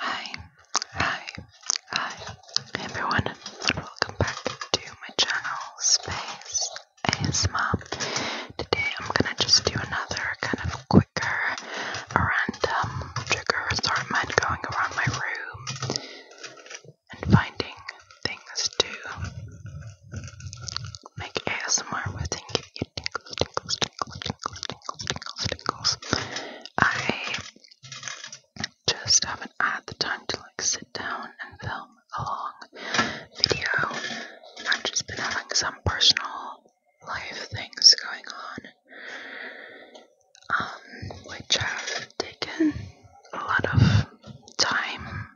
Hi, hi, hi, everyone, welcome back to my channel, Space ASMR. Today I'm gonna just do another kind of quicker, random trigger assortment going around my room and finding things to make ASMR with. You tingles, tingles, tingles, tingles, tingles, tingles, tingles. I just haven't had the time to like sit down and film a long video. I've just been having some personal life things going on, um, which have taken a lot of time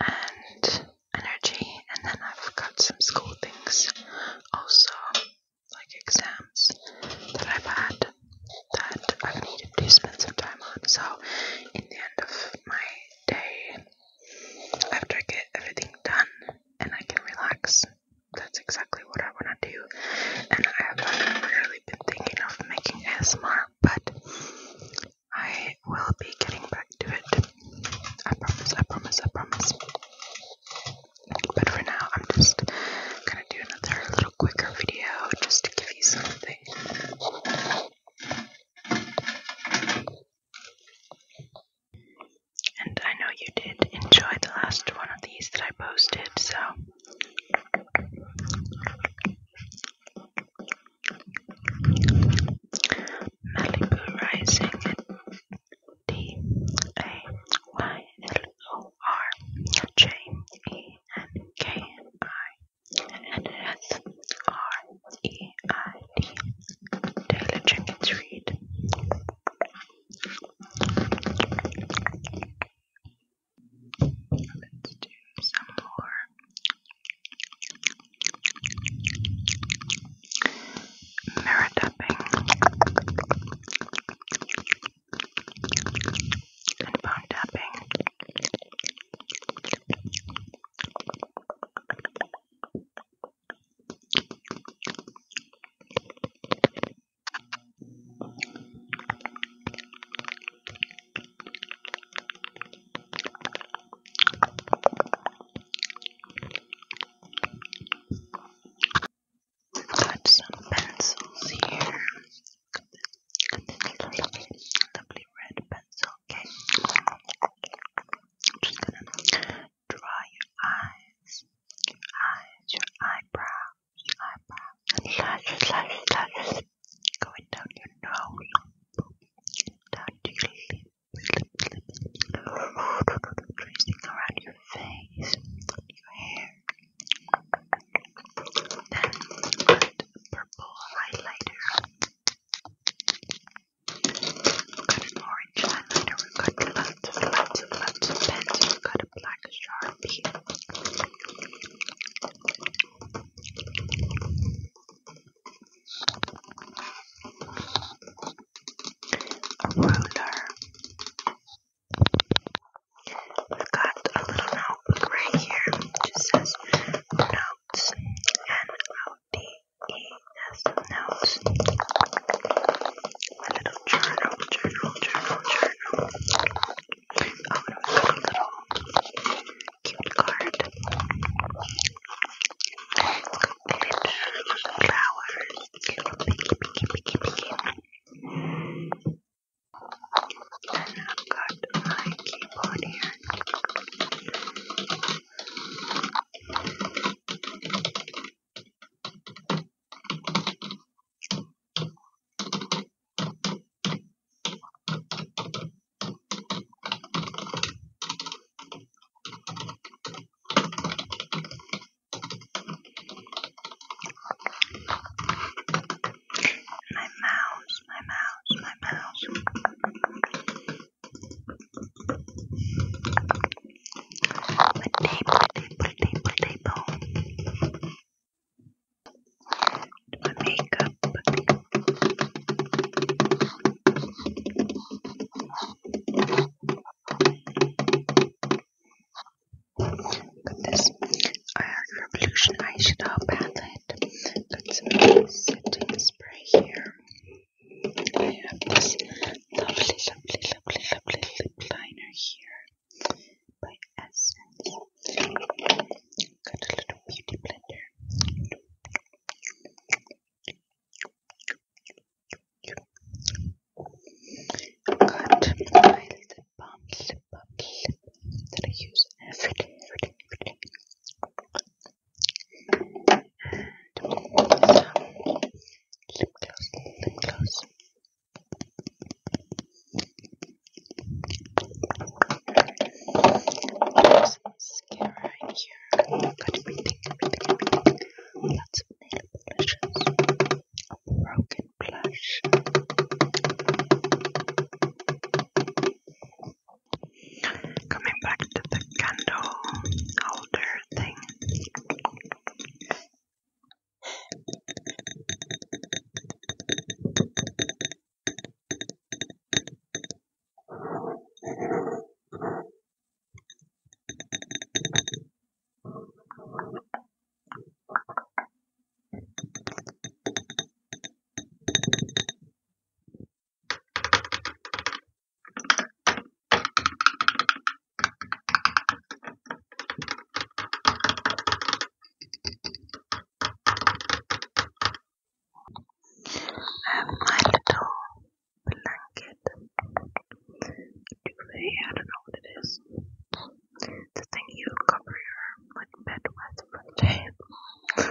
and energy, and then I've got some school things also, like exams that I've had that I've needed to spend some time on. So, in the end of my day, after I get everything done and I can relax, that's exactly what I want to do. And I haven't been thinking of making ASMR, but I will be getting back to it. I promise, I promise, I promise. But for now, I'm just gonna do another little quicker video just to give you something. And I know you did enjoy the last one of these that I posted, so Malibu Rising D A Y L O R J E N K I N S R E I D Daily Jenkins Read Let's do some more Mirror tapping and bone tapping. Got some pencils here. Got this lovely, lovely red pencil. Okay, I'm just gonna draw your eyes, your eyes, your eyebrows. Slashes, slashes, slashes. Going down your nose. Down to your lips. Tracing around your face. Your hair. Then put purple highlighter. got an orange highlighter. we got lots lots lots of pens black sharpie. A ruler. We've got a little notebook right here, which says notes. N O T E S notes a little journal, journal, journal, journal. Oh, and we've got a little cute card. It's got flowers, little piggy, piggy, piggy, piggy. And I've got my keyboard here. My mouse, my mouse, my mouse table, table, table, table. My makeup. Got this Art uh, Revolution eyeshadow palette. Got some setting spray here. I have this lovely, lovely, lovely, lovely lip liner here by Essence. Got a little beauty blender. Got my lip balm, lip that I use every day, every day, every day. And some lip gloss, lip gloss. Some mascara in here. Got everything, everything, everything. Lots of nail polishes. A broken blush. Coming back to the candle holder thing have my little blanket. I don't know what it is. The thing you cover your like, bed with for the day.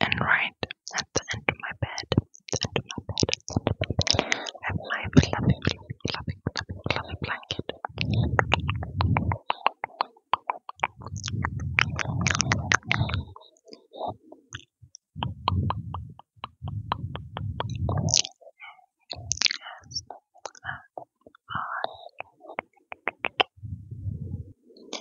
And right at the end of my bed, at the end of my bed, at the end of my bed, I have my fluffy, fluffy, fluffy, fluffy, fluffy blanket.